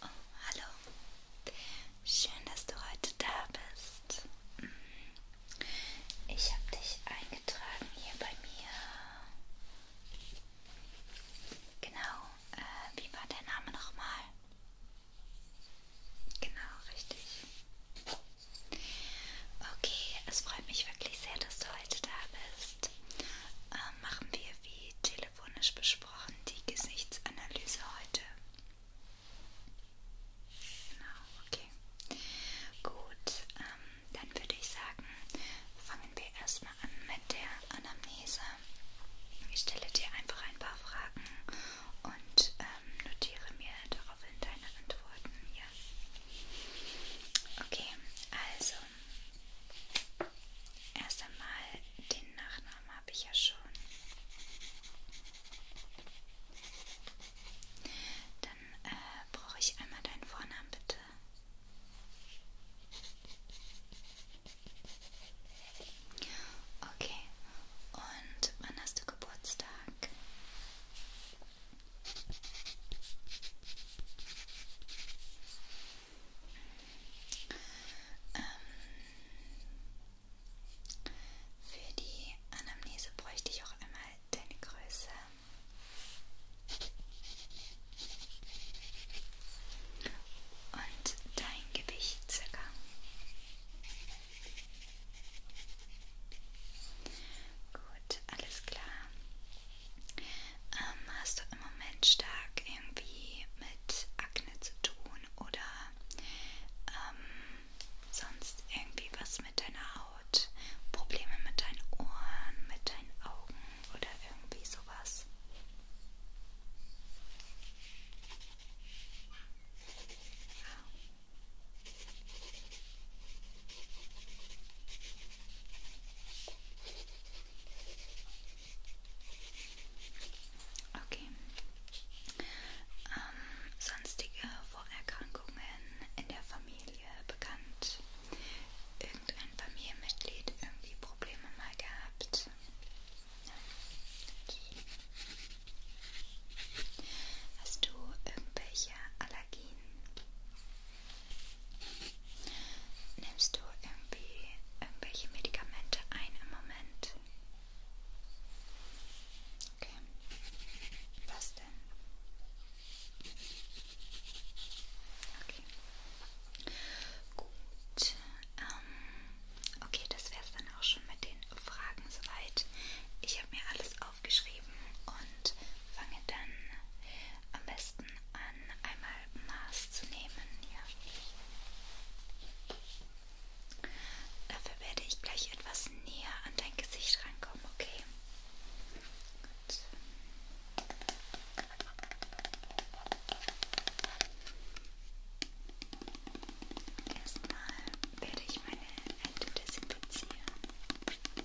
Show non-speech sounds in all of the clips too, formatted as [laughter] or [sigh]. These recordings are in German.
Oh, hallo. Schön, dass du heute da bist. Ich habe dich eingetragen hier bei mir Genau, äh, wie war der Name nochmal? Genau, richtig. Okay, es freut mich wirklich sehr, dass du heute da bist. Ähm, machen wir wie telefonisch besprochen die Gesichtsanalyse heute. Genau, okay. Gut, ähm, dann würde ich sagen, fangen wir erstmal an mit der Anamnese. Ich stelle dir einfach ein paar Fragen und ähm, notiere mir daraufhin deine Antworten hier. Okay, also erst einmal den Nachnamen habe ich ja schon. Dann äh, brauche ich einmal deinen Vornamen bitte. Seite. Okay, und wann hast du Geburtstag? Ähm, für die Anamnese bräuchte ich auch einmal deine Größe. Und dein Gewicht circa. Gut, alles klar. Ähm, hast du im Moment stark irgendwie mit Akne zu tun oder ähm, sonst irgendwie was mit deiner Haut? Haut, Probleme mit deinen Ohren, mit deinen Augen oder irgendwie sowas. Okay. Ähm, sonstige Vorerkrankungen in der Familie bekannt? irgendein Familienmitglied irgendwie Probleme mal gehabt? Nein. Hast du irgendwelche Allergien? Nimmst du irgendwie irgendwelche Medikamente ein im Moment? Okay. Was denn? Okay. Gut. Ähm, okay, das wäre es dann auch schon mit den Fragen soweit. Ich habe mir alles aufgeschrieben und fange dann am besten an, einmal Maß zu nehmen. Ja. Dafür werde ich gleich etwas näher an dein Gesicht rankommen, okay? Gut. Erstmal werde ich meine Hände desinfizieren. Okay.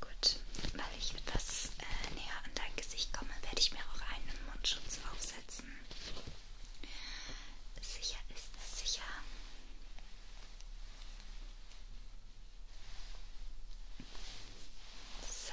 Gut, weil ich etwas äh, näher an dein Gesicht komme, werde ich mir auch einen Mundschutz aufsetzen. Sicher ist es sicher. So.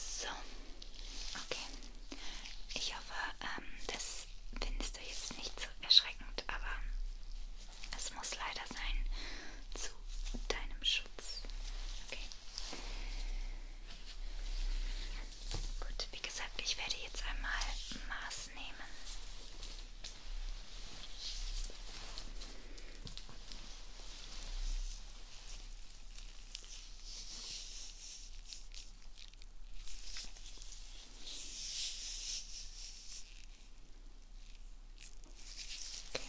So, okay. Ich hoffe, ähm, das findest du jetzt nicht so erschreckend, aber es muss leider sein zu deinem Schutz. Okay. Gut, wie gesagt, ich werde jetzt einmal Maß nehmen. Okay. Okay.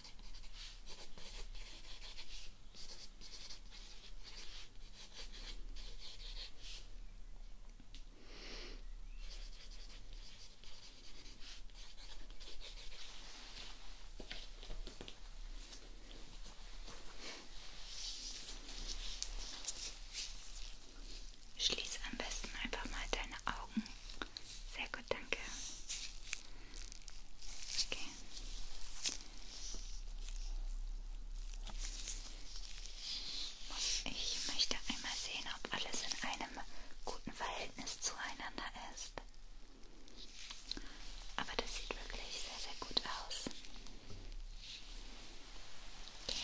Schließ am besten einfach mal deine Augen sehr gut, danke. Okay. Ich möchte einmal sehen, ob alles in einem guten Verhältnis zueinander ist. Aber das sieht wirklich sehr, sehr gut aus. Okay.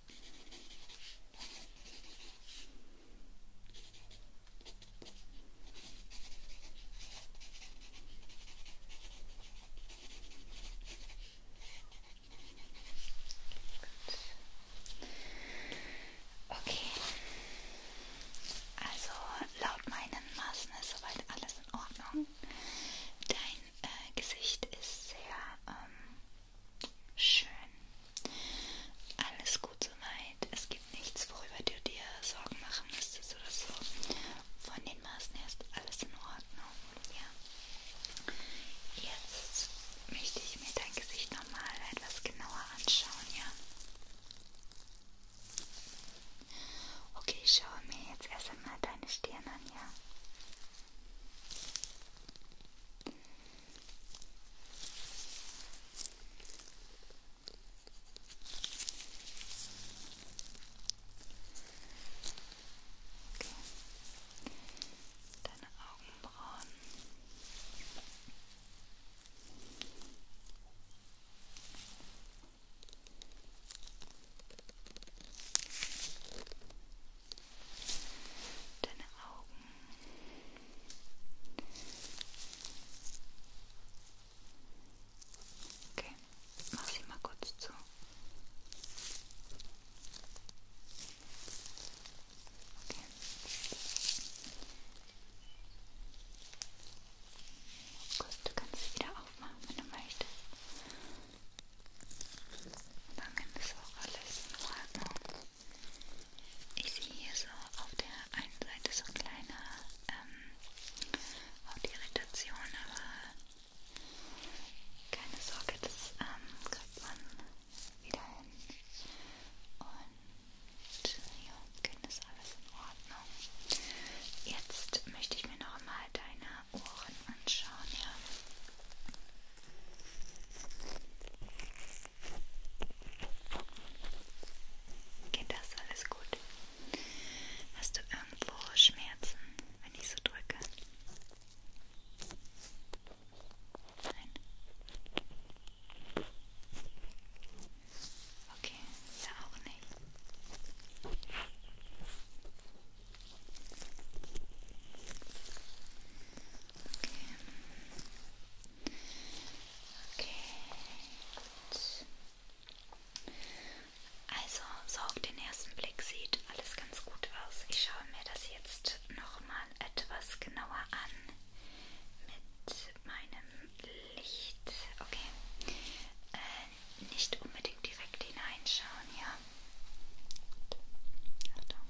Okay. Also laut meinen Maßen ist soweit alles in Ordnung. Dein äh, Gesicht ist sehr ähm, Schön. Alles gut soweit. Es gibt nichts, worüber du dir Sorgen machen müsstest oder so. Von den Maßen her ist alles in Ordnung. Ja. Jetzt möchte ich mir dein Gesicht nochmal etwas genauer anschauen, ja? Okay, ich schaue mir jetzt erst einmal deine Stirn an, ja? Okay. Deine Augenbrauen. Okay deine Augen. Okay, mach sie mal kurz zu. Okay. Gut, du kannst es wieder aufmachen, wenn du möchtest. Dann nimm das auch alles in Ordnung. Ich sehe hier so auf der einen Seite so kleine ähm, Irritation, aber keine Sorge, das ähm, kriegt man wieder hin. Und ja, Kind ist alles in Ordnung. Jetzt möchte ich mir noch mal deine Ohren anschauen, ja. Geht das alles gut? Hast du irgendwo Schmerzen, wenn ich so drücke? Nein. Okay, ja auch nicht. Okay. Okay. Gut. Also, so auf den ersten Blick sieht alles ganz gut aus. Ich schaue mir das jetzt nochmal etwas genauer an mit meinem Licht. Okay. Äh, nicht unbedingt direkt hineinschauen, ja. Achtung.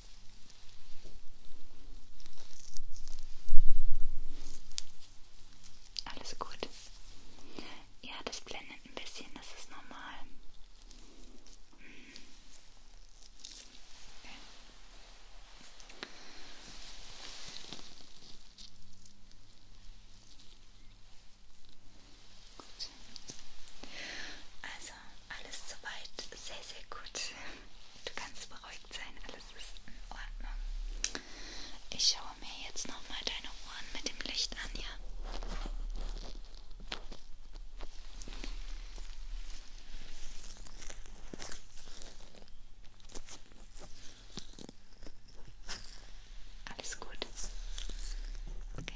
Alles gut. Ja, das blendet ein bisschen, das ist normal. Okay. Gut. Also also, alles soweit sehr, sehr gut. Du kannst beruhigt sein, alles ist in Ordnung. Ich schaue mir jetzt nochmal deine Ohren mit dem Licht an, ja? Alles gut. Okay.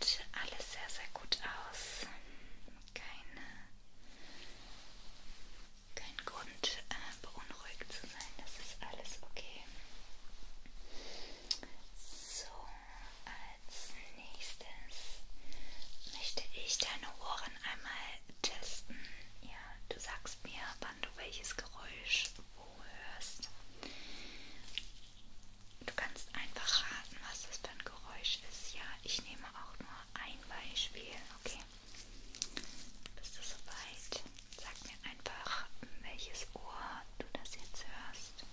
sieht alles sehr, sehr gut aus. Keine, kein Grund, äh, beunruhigt zu sein. Das ist alles okay. So, als nächstes möchte ich deine Ohren einmal testen. Ja, du sagst mir, wann du welches Geräusch wo hörst. Du kannst einfach raten, was das für ein Geräusch ist. Ja, ich nehme auch nur ein Beispiel, okay? Bist du soweit? Sag mir einfach, welches Ohr du das jetzt hörst.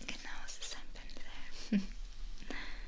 Genau, es ist ein Pinsel. [laughs]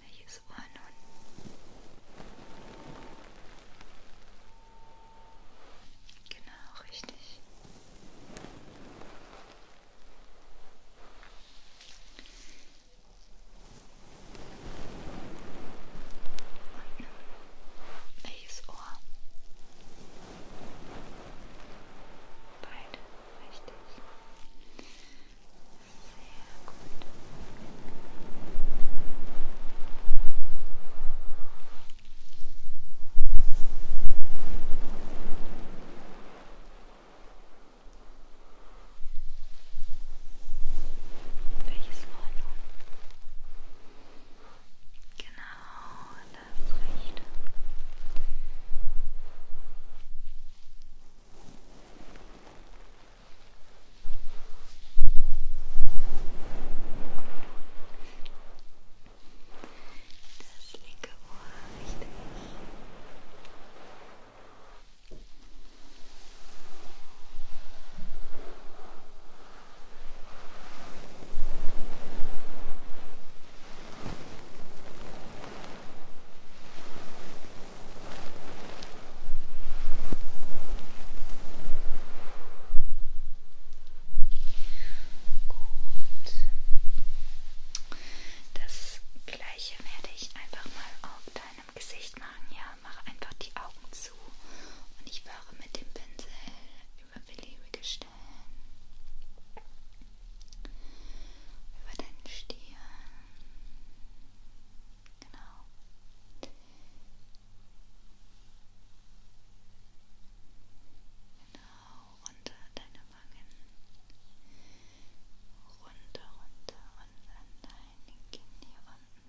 Welches Ohr nun? Genau, richtig. Und welches Ohr? Beide, richtig. Sehr gut. Sehr welches Ohr nun? Genau, das rechte. Das linke Ohr, richtig. Gut. Das gleiche werde ich einfach mal auf deine im Gesicht machen, ja, mach einfach die Augen zu und ich fahre mit dem Pinsel über beliebige Stellen. Über deinen Stirn. Genau. Genau, runter deine Wangen. Runter, runter und an deine Kinn hier unten.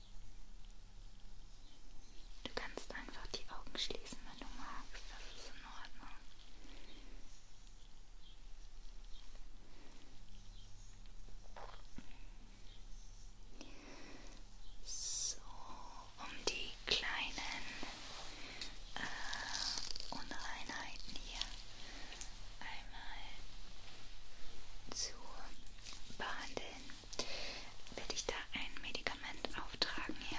Du kannst einfach die Augen schließen, wenn du magst. Das ist in Ordnung. So, um die kleinen äh, Unreinheiten hier einmal zu behandeln werde ich da ein Medikament auftragen hier.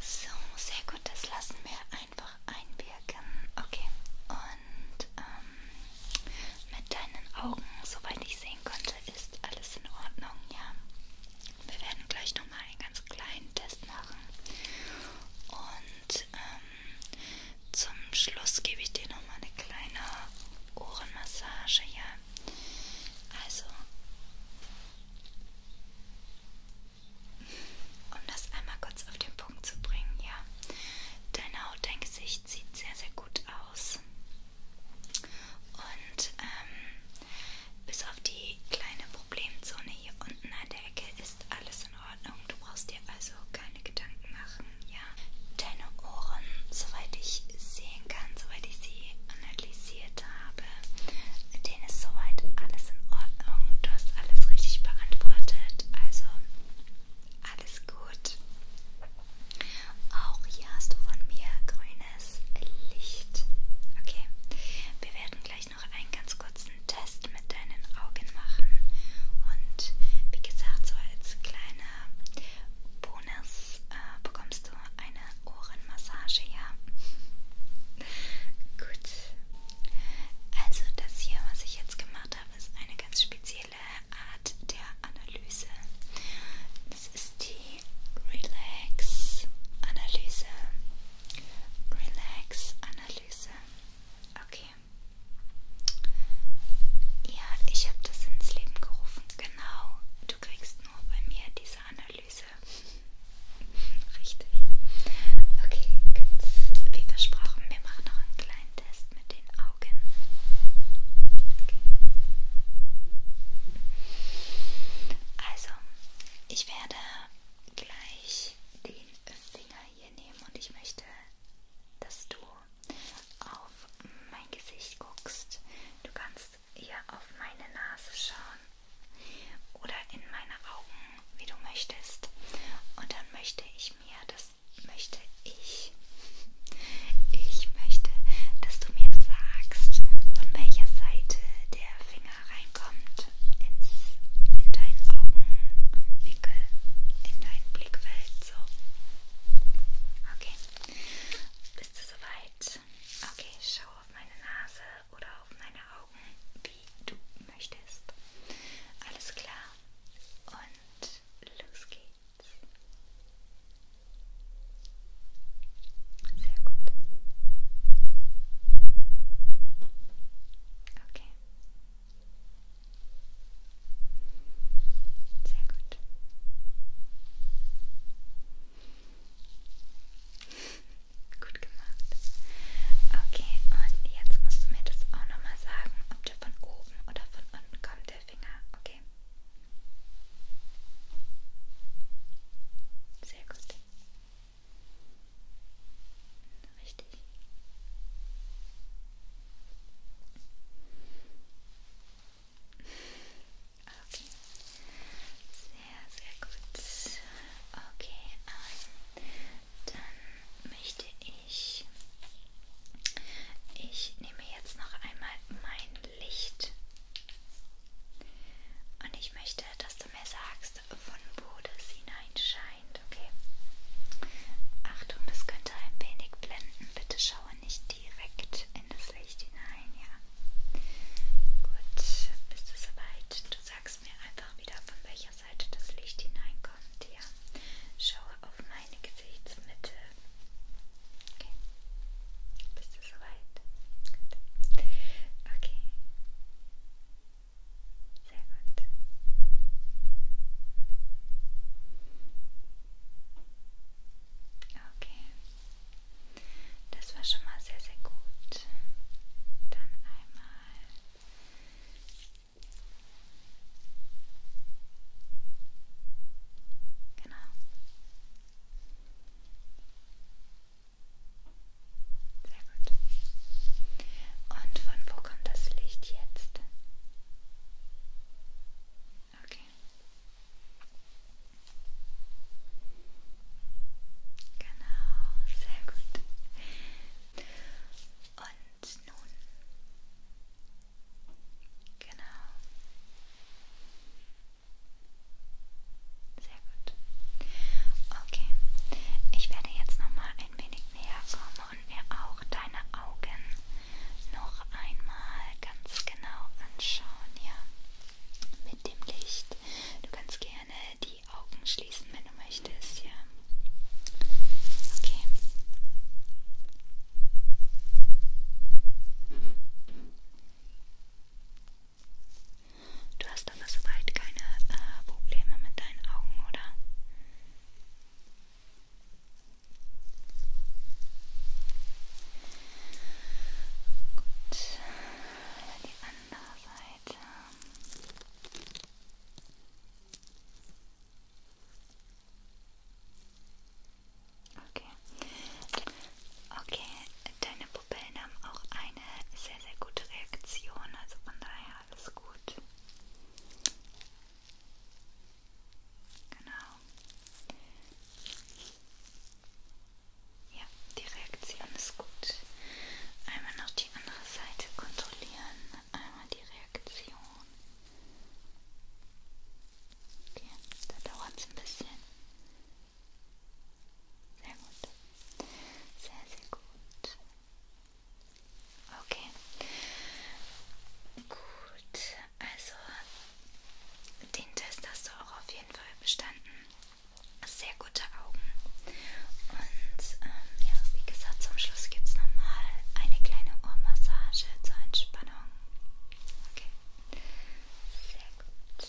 So, sehr gut, das lassen wir einfach einwirken. Okay, und ähm, mit deinen Augen, soweit ich sehen konnte, ist alles in Ordnung, ja. Wir werden gleich nochmal einen ganz kleinen Test machen. Und ähm, zum Schluss gebe ich dir noch mal eine kleine Ohrenmassage, ja. Also um das einmal kurz auf den Punkt zu bringen, ja. Deine Haut, dein Gesicht sieht sehr, sehr gut aus. Und ähm, bis auf die kleine Problemzone hier unten an der Ecke ist alles ist in Ordnung. Du brauchst dir also keine Gedanken machen, ja? Deine Ohren, soweit ich sehen kann, soweit ich sie analysiert habe, denen ist soweit alles in Ordnung. Du hast alles richtig beantwortet, also alles gut. Auch hier hast du von mir grünes Licht. Okay, wir werden gleich noch einen ganz kurzen ersten Test mit deinen Augen machen. Und wie gesagt, so als kleiner Bonus äh, bekommst du eine Ohrenmassage, ja. Gut. Also das hier, was ich jetzt gemacht habe, ist eine ganz spezielle Art der Analyse. Das ist die Relax-Analyse. Relax-Analyse. Okay. Okay. Ja, ich habe das ins Leben gerufen. Genau. Du kriegst nur bei mir diese Analyse. [laughs] Richtig. Okay, gut. Wie versprochen, wir machen noch einen kleinen Test mit den Augen. Okay. Also, ich werde gleich den Finger hier nehmen und ich möchte, dass du auf mein Gesicht guckst. Du kannst hier auf meine Nase schauen oder in meine Augen, wie du möchtest. Und dann möchte ich mir, das möchte ich, ich möchte, dass du mir sagst, von welcher Seite der Finger reinkommt ins, in deinen Augenwinkel, in dein Blickfeld, so. Okay, bist du soweit? Okay, schau auf meine Nase oder auf meine Augen, wie du möchtest. Alles klar und los geht's. Sehr gut. Okay. Sehr gut. gut gemacht. Okay, und jetzt musst du mir das auch nochmal sagen, ob der von oben oder von unten kommt, der Finger, okay? Sehr gut. Richtig. Okay. Also sehr, sehr gut. Okay, ähm, dann möchte ich. Ich nehme jetzt noch einmal mein Licht. Und ich möchte, dass du mir sagst, von Bodes hinein scheint. Okay. Achtung, das könnte ein wenig blenden. Bitte schaue nicht direkt in das Licht hinein. Ja. Gut, bist du soweit? Du sagst mir einfach wieder, von welcher Seite das Licht hineinkommt. Ja. Schaue auf meine Gesichtsmitte. Okay. Bist du soweit? Gut. Okay. Sehr gut. Okay. Das war schon mal sehr, sehr gut. Dann einmal. Genau. Sehr gut. Und von wo kommt das Licht jetzt? Okay. Genau, sehr gut. Und nun. Genau. Sehr gut. Okay, ich werde jetzt nochmal ein wenig näher komme und mir auch deine Augen noch einmal ganz genau anschauen, ja, mit dem Licht. Du kannst gerne die Augen schließen, wenn du möchtest, ja. Okay. Du hast aber soweit keine äh, Probleme mit deinen Augen, oder? Gut, die andere Seite. Okay. Okay, deine Pupillen haben auch eine sehr, sehr gute Reaktion. Also von daher alles gut. Genau. Ja, die Reaktion ist gut. Einmal noch die andere Seite kontrollieren. Einmal die Reaktion. Okay, da dauert es ein bisschen. Sehr gut. Sehr, sehr gut. Okay. Gut, also den Test hast du auch auf jeden Fall bestanden. Sehr gute Augen. Und ähm, ja, wie gesagt, zum Schluss gibt es nochmal eine kleine Ohrmassage zur Entspannung. Okay. Sehr gut.